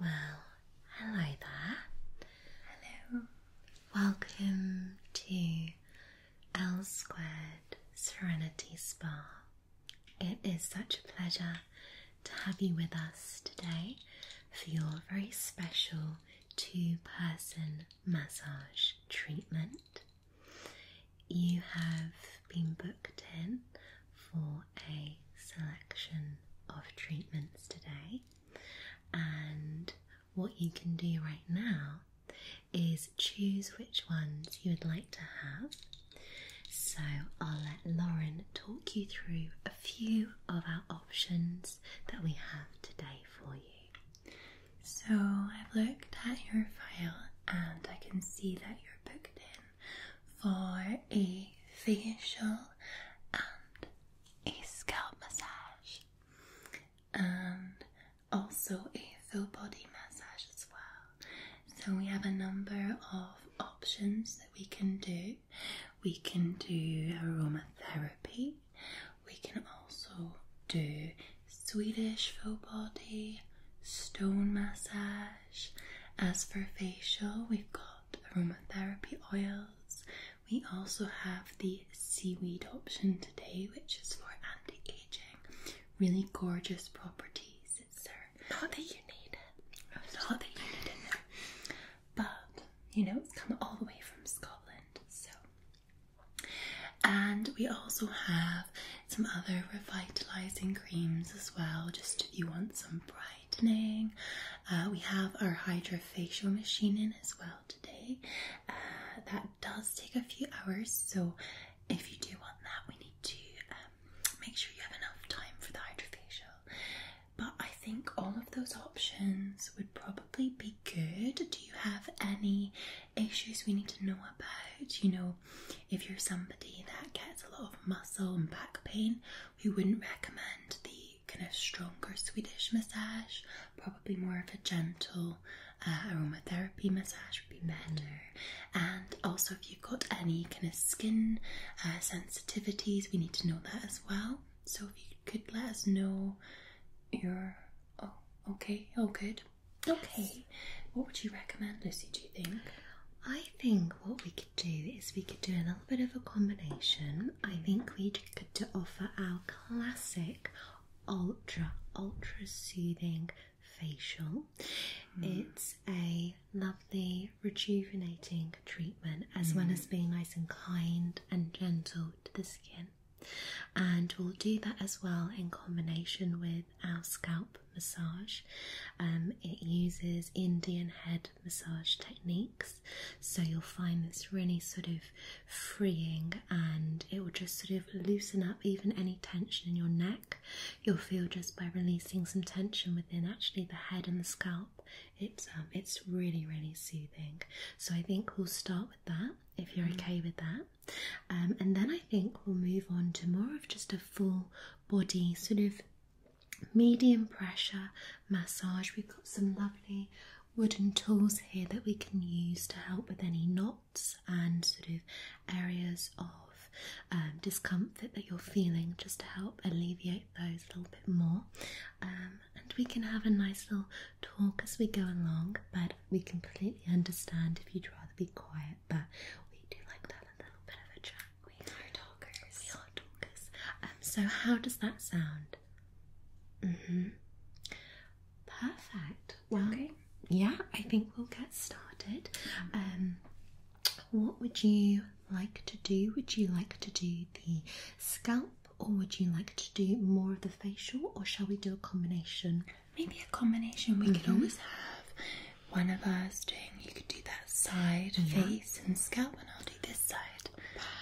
Well, hello there. Hello. Welcome to L Squared Serenity Spa. It is such a pleasure to have you with us today for your very special two person massage treatment. You have been booked in for a selection of treatments today. And what you can do right now is choose which ones you would like to have. So I'll let Lauren talk you through a few of our options that we have today for you. So I've looked at your file and I can see that you're booked in for a facial and a scalp massage, and also a full body massage as well. So, we have a number of options that we can do. We can do aromatherapy, we can also do Swedish full body, stone massage. As for facial, we've got aromatherapy oils. We also have the seaweed option today, which is for anti-aging. Really gorgeous properties, sir. Not that you need it. Not that you need it, no. But you know, it's come all the way from Scotland, so. And we also have some other revitalizing creams as well, just if you want some bright uh, we have our hydrofacial machine in as well today. Uh, that does take a few hours, so if you do want that, we need to um, make sure you have enough time for the hydrofacial. But I think all of those options would probably be good. Do you have any issues we need to know about? You know, if you're somebody that gets a lot of muscle and back pain, we wouldn't recommend the kind of stronger Swedish massage. Probably more of a gentle uh, aromatherapy massage would be better. And also, if you've got any kind of skin uh, sensitivities, we need to know that as well. So, if you could let us know your oh, okay, oh, good. Okay, what would you recommend, Lucy? Do you think? I think what we do is we could do a little bit of a combination. I think we could to offer our classic ultra ultra soothing facial. Hmm. It's a lovely rejuvenating treatment as well hmm. as being nice and kind and gentle to the skin. And we'll do that as well in combination with our scalp massage. Um, it uses Indian head massage techniques, so you'll find this really sort of freeing and it will just sort of loosen up even any tension in your neck. You'll feel just by releasing some tension within actually the head and the scalp. It's um, it's really really soothing. So I think we'll start with that if you're mm-hmm. okay with that. Um, and then I think we'll move on to more of just a full body sort of medium pressure massage. We've got some lovely wooden tools here that we can use to help with any knots and sort of areas of um, discomfort that you're feeling, just to help alleviate those a little bit more. Um, and we can have a nice little talk as we go along, but we completely understand if you'd rather be quiet but we do like to a little bit of a chat. We are talkers. We are talkers. Um, so how does that sound? Mm-hmm. Perfect. okay. yeah, I think we'll get started. Um, what would you like to do? Would you like to do the scalp, or would you like to do more of the facial, or shall we do a combination? Maybe a combination. We mm could mm-hmm. always have one of us doing, you could do that side, face, and scalp, and I'll do this side.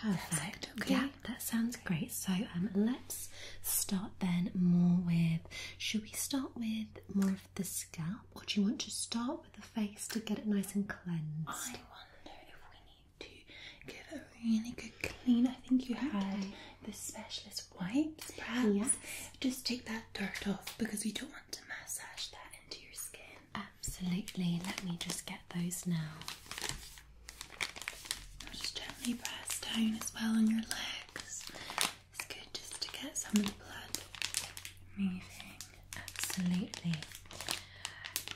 Perfect. okay. that sounds great. So um, let's start then more with. Should we start with more of the scalp, or do you want to start with the face to get it nice and cleansed? I wonder if we need to get a really good clean. I think you okay. had the specialist wipes, perhaps. Just take that that dirt off because we don't want to massage that into your skin. Absolutely. Let me just get those now. just gently press down as well on your legs. It's good just to get some of the blood moving. Absolutely.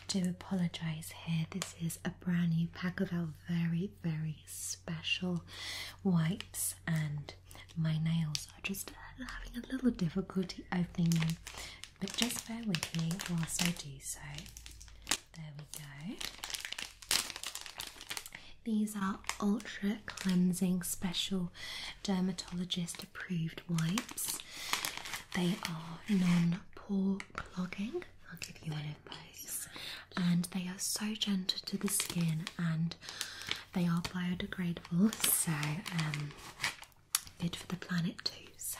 do apologise here. This is a brand new pack of our very, very special wipes and my nails are just having a little difficulty opening them, but just bear with me whilst I do so. There we go. These are ultra cleansing special dermatologist approved wipes. They are non pore clogging. I'll give you one of those. And they are so gentle to the skin and they are biodegradable, so um, good for the planet too. So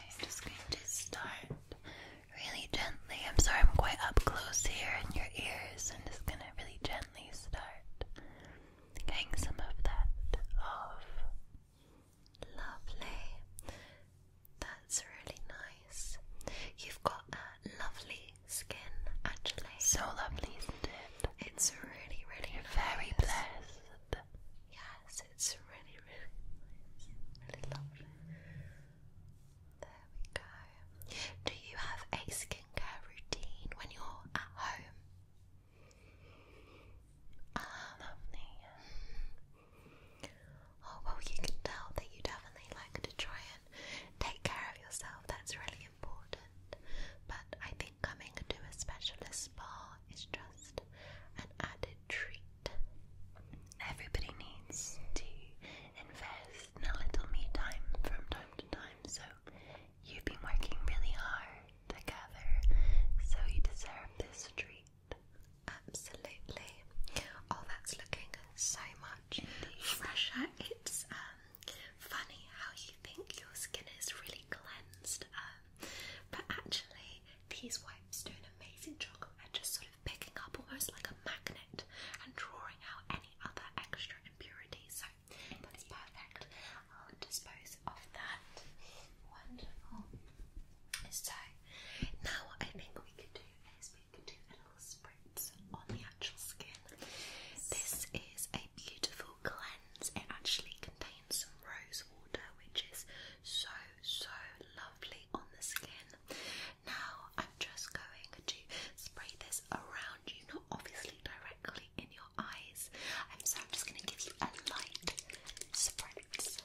I'm just going to start really gently. I'm sorry, I'm quite up close here in your ears. i just gonna really gently start getting some of that off. Lovely. That that's really nice. You've got a lovely skin, actually. So lovely, isn't it? It's really, really very blessed. Yes, it's really, really Really lovely. There we go. Do you have a skincare routine when you're at home? Ah, lovely. Hmm. Oh well, you can tell that you definitely like to try take care of yourself. That's really important. But I think coming to a specialist spa is just an added treat. Everybody needs to invest in a little me time from time to time, so you've been working really hard together, so you deserve this treat. Absolutely. Oh, that's looking so much much. it's um, funny how you think your skin is really cleansed, um, but actually, these wipes do an amazing job at just sort of picking up almost like a magnet and drawing out any other extra impurities. So that is perfect. I'll dispose of that. Wonderful. So now what I we could do is we could do little spritz on the actual skin. This is a beautiful cleanse. It actually contains some rose water, which is so, so lovely on the skin. Now, I'm just going to spray this around you, not obviously directly in your eyes. Um, so, I'm just going to give you a light spritz.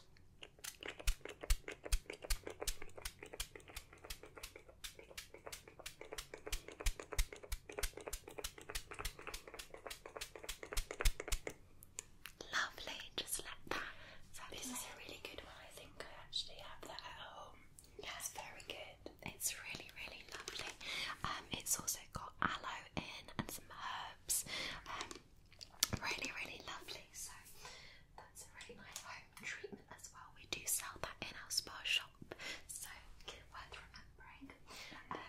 Lovely, just like that. So this is a really good one. I think I actually have that at home. Yeah, very good. It's really, really lovely. Um, it's also got aloe in and some herbs. Um, really, really lovely. So it's a really nice home treatment as well. We do sell that in our spa shop, so worth remembering. Um,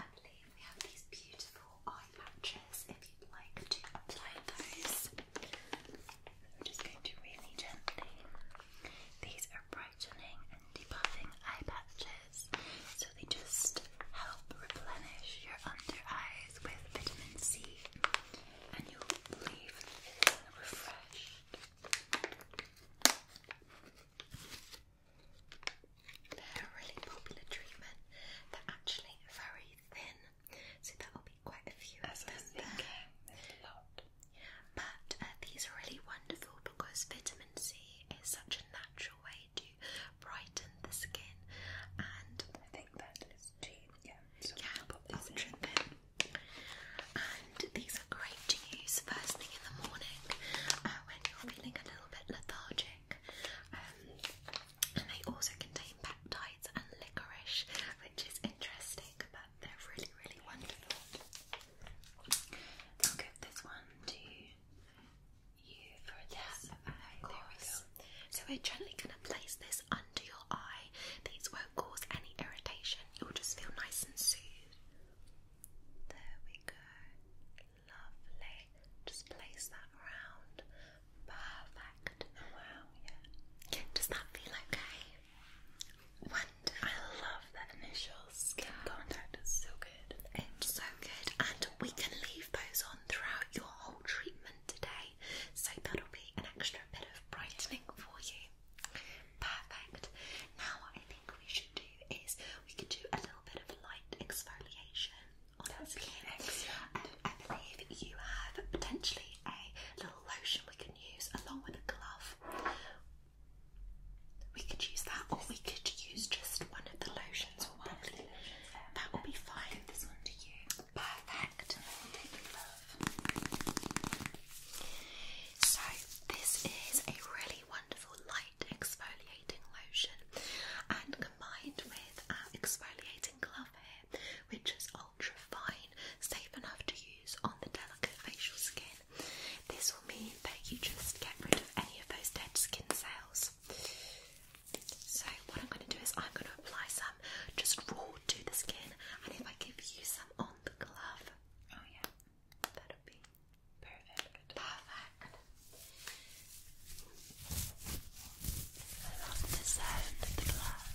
I believe we have these beautiful eye patches if you'd like to apply those. I'm just going to really gently. These are brightening and debuffing eye patches, so they just help replenish your under eyes with vitamin C they're a really popular treatment. They're actually very thin, so that will be quite a few As of a lot. But uh, these are really wonderful because vitamin C is such a natural way to brighten the skin, and I think that is tea yeah, so yeah, pop this in. And these are great to use first thing in the morning uh, when you're feeling a little bit lethargic. Um, and they also contain peptides and licorice, which is interesting, but they're really, really wonderful. I'll give this one to you for a test. So we're gently going to place this under your eye. These won't cause any irritation, It will just feel nice and soothe. There we go. Lovely. Just place that around. Perfect. Wow, yeah. Does that feel okay? Wonderful. I love that initial skin contact. It's so good. It's so good. And we can leave those on throughout your whole treatment today. So that'll be an extra extra bit of brightening for you. Perfect. Now, I think we should do is we could do a little bit of light exfoliation on our skin. I believe you have potentially a little lotion we can use along with a glove. We could use that, or we could use just one of the lotions. Or one of the lotions. That will be fine. This one to you. Perfect. So this is a really wonderful light exfoliating lotion, and combined with our exfoliating glove here, which is ultra fine, safe enough to use on the delicate facial skin. This will mean that you just get rid of any of those dead skin cells. So what I'm going to do is I'm going to apply some just raw to the skin, and if I give you some on the glove, oh yeah, that'll be perfect. Perfect. I love the sound of the glove.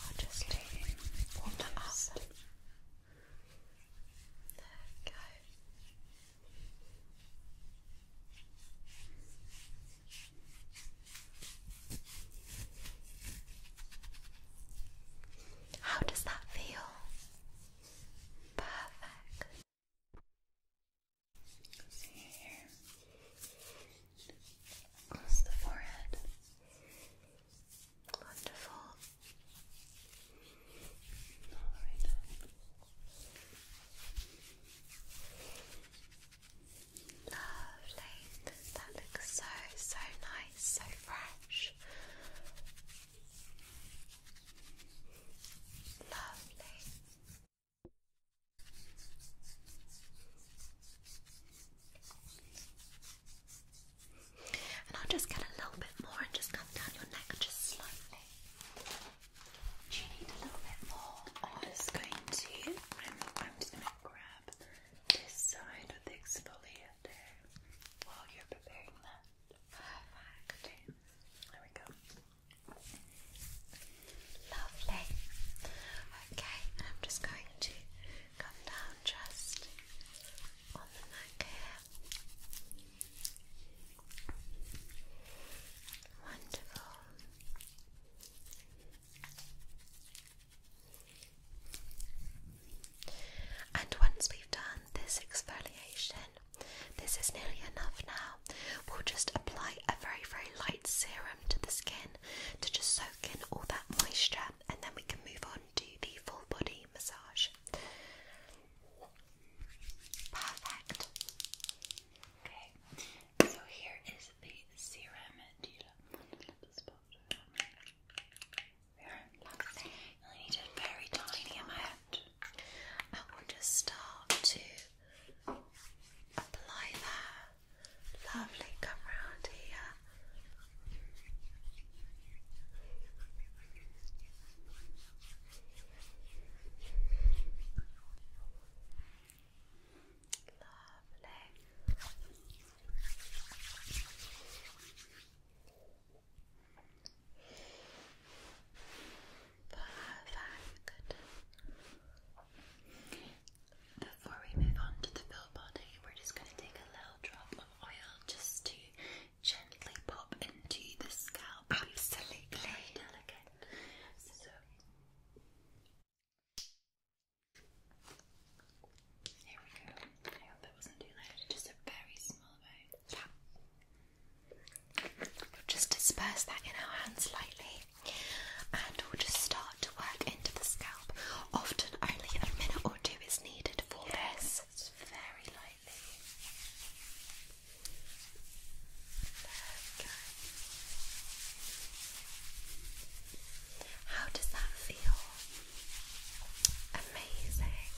I'll just okay. warm that There we go. How does that feel? Perfect. See here. Across the forehead. Wonderful. All right. Lovely. That looks so, so nice, so fresh. Lovely. And I'll just get a little bit more and just come down your neck just slightly you need a little bit more? I'm just going to. I'm, just going to grab this side with the exfoliator while you're preparing that. Perfect. There we go. Lovely. Okay, I'm just going to come down just on the neck here. Wonderful. And once we've done this exfoliation, this is nearly enough now. We'll just apply a very, very light serum to the skin to just soak in all that moisture, and then we can move on to the full body massage. Perfect. Okay, so here is the serum dealer. You only need a very tiny amount. I will just start to apply that. Lovely, come round here. Perfect. Before we move on to the full body, we're just going to take a little drop of oil just to gently pop into the scalp. Absolutely. delicate. So, here we go. that wasn't too loud. Just a very small amount. just disperse that in our hands slightly and we'll just start to work into the scalp. Often only a minute or two is needed for this. It's very lightly. How does that feel? Amazing.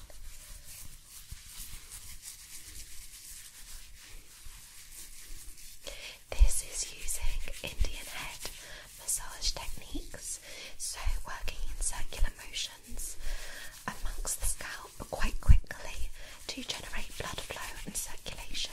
This is using Indian head massage techniques, so working in circular motions amongst the scalp quite quickly to generate blood flow and circulation.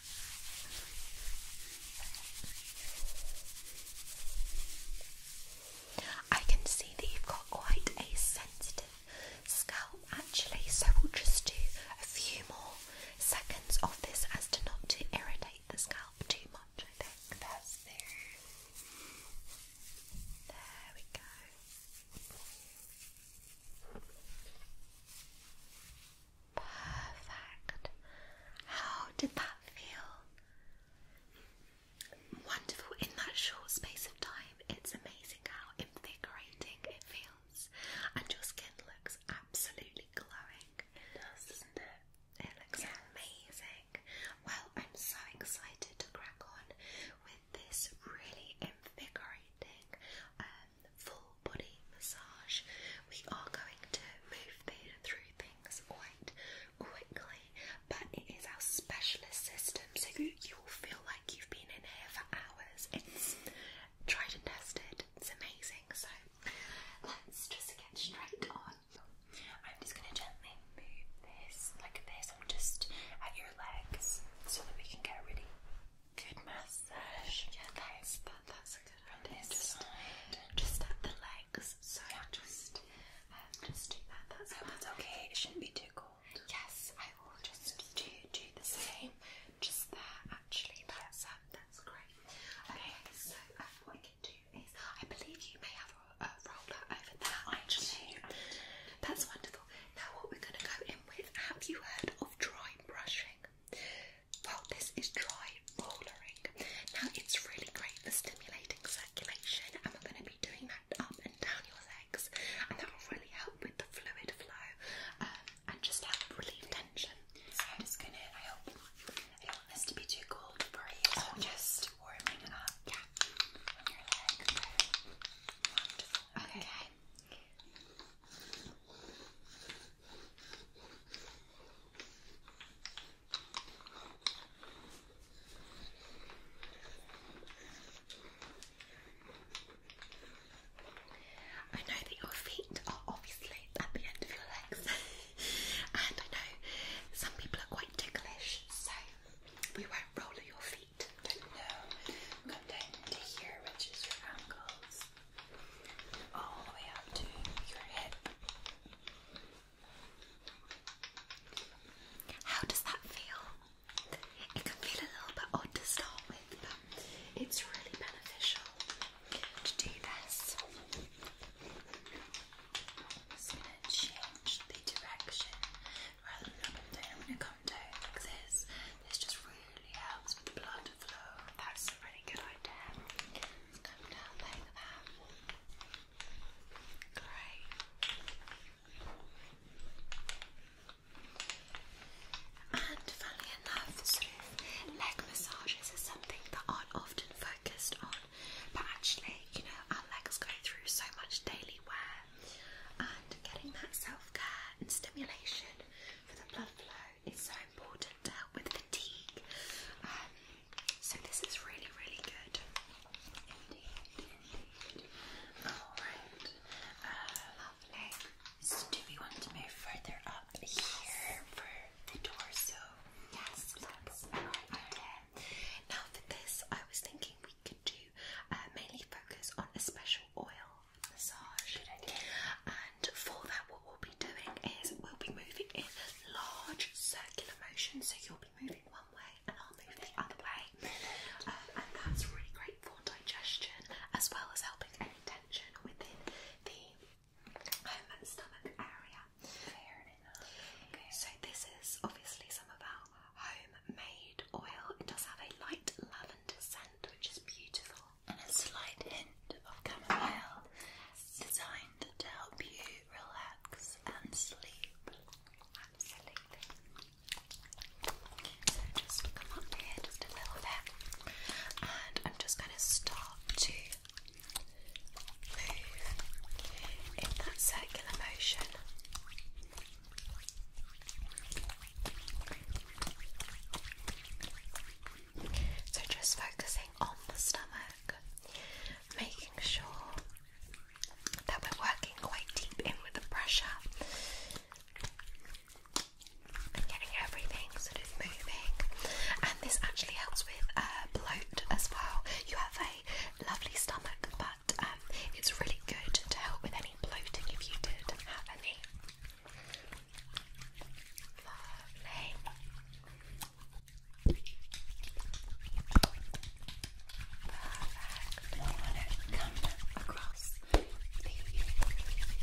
I can see that you've got quite a sensitive scalp actually, so we'll just do a few more seconds of this as to not to irritate the scalp too much. I think that's there. There we go. Perfect. How did that feel? Wonderful. In that short space of time, it's amazing how invigorating it feels. And your skin looks absolutely glowing. It does, not it? It looks amazing. Well, I'm so excited to crack on with this really invigorating um, full body massage. We are going to move through things quite quickly, but it is our specialist system, so you, will feel like you've been in here for hours. It's tried and tested, it's amazing. So let's just get straight on. I'm just going to gently move this like this. I'm just at your legs so that we can get ready. Good massage. Yeah, that's that, that's a good idea. Just, just at the legs. So yeah, just, just um, do that. That's oh, okay. It shouldn't be too cold. Yes, I will just do do the same. Just there, actually. That's um, that's great. Okay, so um, what I can do is, I believe you may have a, roller over there. I Actually, that's wonderful. Now, what we're going to go in with? Have you heard of dry brushing? Well, this is dry rollering. Now, it's really great for stimulating circulation, and we're going to be doing that up and down your legs, and that will really help with the fluid flow um, and just help relieve tension. So, I'm just going to, I hope, I don't want this to be too cold for you. So I'm oh, just warming it up yeah. okay. I know that your feet are obviously at the end of your legs, and I know some people are quite ticklish, so we won't roll your feet. No, come down to here, which is your ankles all the way up to your hip. How does that feel? It can feel a little bit odd to start with, but it's really beneficial to do this. I'm just going to change the direction rather than up and down. This just really helps with the blood that's a really good idea. Let's come that. Great. And funnily enough, leg massages is something that aren't often focused on, but actually, you know, our legs go through so much daily wear, and getting that self care and stimulation for the blood flow it's so important to help with fatigue. Um, so this is really, really good. Indeed, indeed. Alright. Uh, lovely. So do want to move further up here for the torso? Yes, Now for this I was thinking we could do uh, mainly focus on a special oil massage. And for that, what we'll be doing is we'll be moving in large circular motion. So you'll be moving one way and I'll move the other way. Um, and that's really great for digestion as well as helping any tension within the stomach area. Okay. So this is obviously some of our homemade oil. It does have a light lavender scent, which is beautiful and a slight hint of chamomile designed to help you relax and sleep. So just come up here just a little bit and I'm just going to start to move in that circular motion. So, just focusing on the stomach, making sure that we're working quite deep in with the pressure and getting everything sort of moving. And this actually helps with uh, bloat as well. You have a lovely stomach, but um, it's really good to help with any bloating if you did have any. Lovely. Perfect. come across the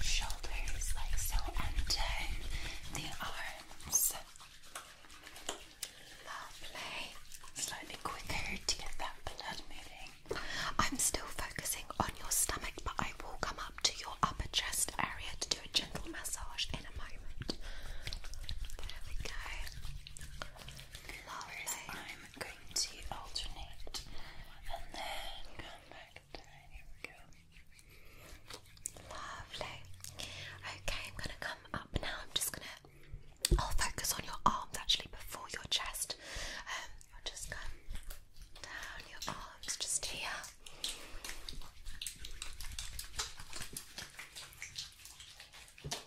shoulders like so and the arms. Lovely. Slightly quicker to get that blood moving. I'm still focusing on your stomach, but I will come up to your upper chest area to do a gentle massage in a moment. There we go. Lovely. I'm going to alternate and then come back Here we go. Lovely. Okay, I'm going to come up now. I'm just going to. I'll focus on your arms actually before your chest. Um, you just come down your arms, just here. Lovely.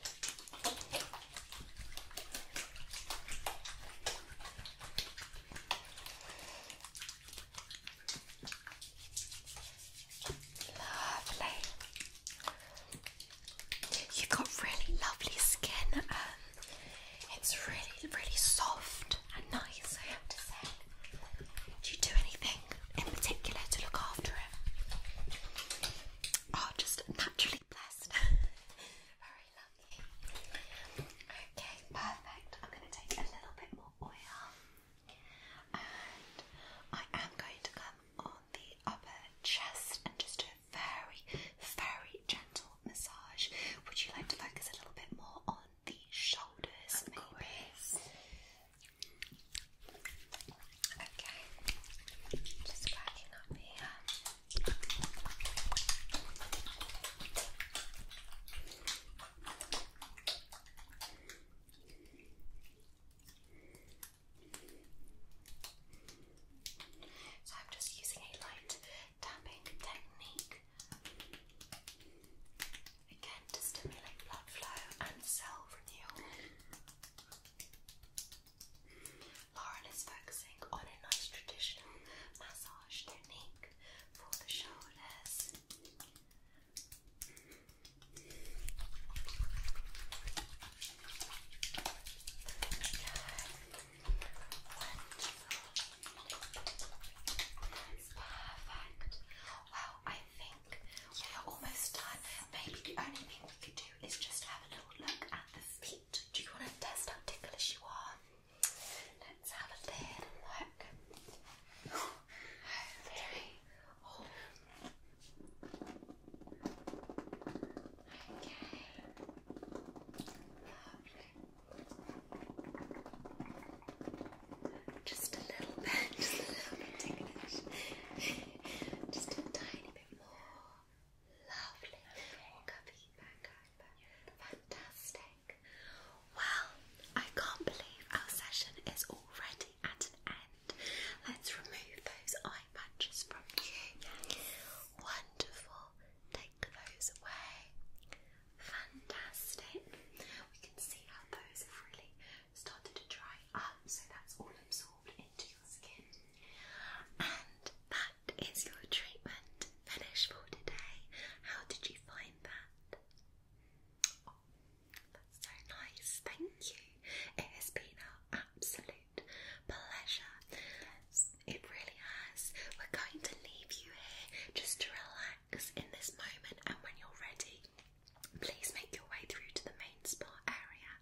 You've got really lovely skin. Um, it's really, really soft and nice, I have to say. Do you do anything in particular to look after it? Oh, just naturally blessed. Very lovely. Okay, perfect. I'm going to take a little bit more oil and I am going to come on the upper chest and just do very, very gentle massage. Would you like to focus a little bit more on the shoulders, maybe? Okay, just cracking up here. So I'm just using a light tapping technique. Again, to stimulate blood flow and cell renewal. Lauren is focusing on a nice traditional massage technique for the shoulders. Perfect. Well, I think we're almost done. Maybe the only thing we could do is just have a little look at the feet. Do you want to test how ticklish you are? Let's have a little look. Okay. Oh. Okay. Lovely. Just a little bit, just a little bit ticklish. just a tiny bit more. Lovely. Walk Fantastic. Well, I can't believe our session is already at an end. Let's remove those eye patches from you. Wonderful take those away. Fantastic. We can see how those have really started to dry up, so that's all absorbed into your skin. And that is your treatment finished for today. How did you find that? Oh, that's so nice. Thank you. It has been our absolute pleasure. it really has. We're going to leave you here just to relax in this moment, and when you're ready, please make your way through to the main spa area.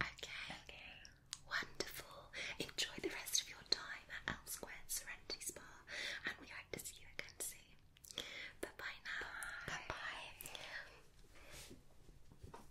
Okay. Wonderful. Enjoy the rest of your time at L Square Serenity Spa, and we hope to see you again soon. Bye bye now. bye, -bye.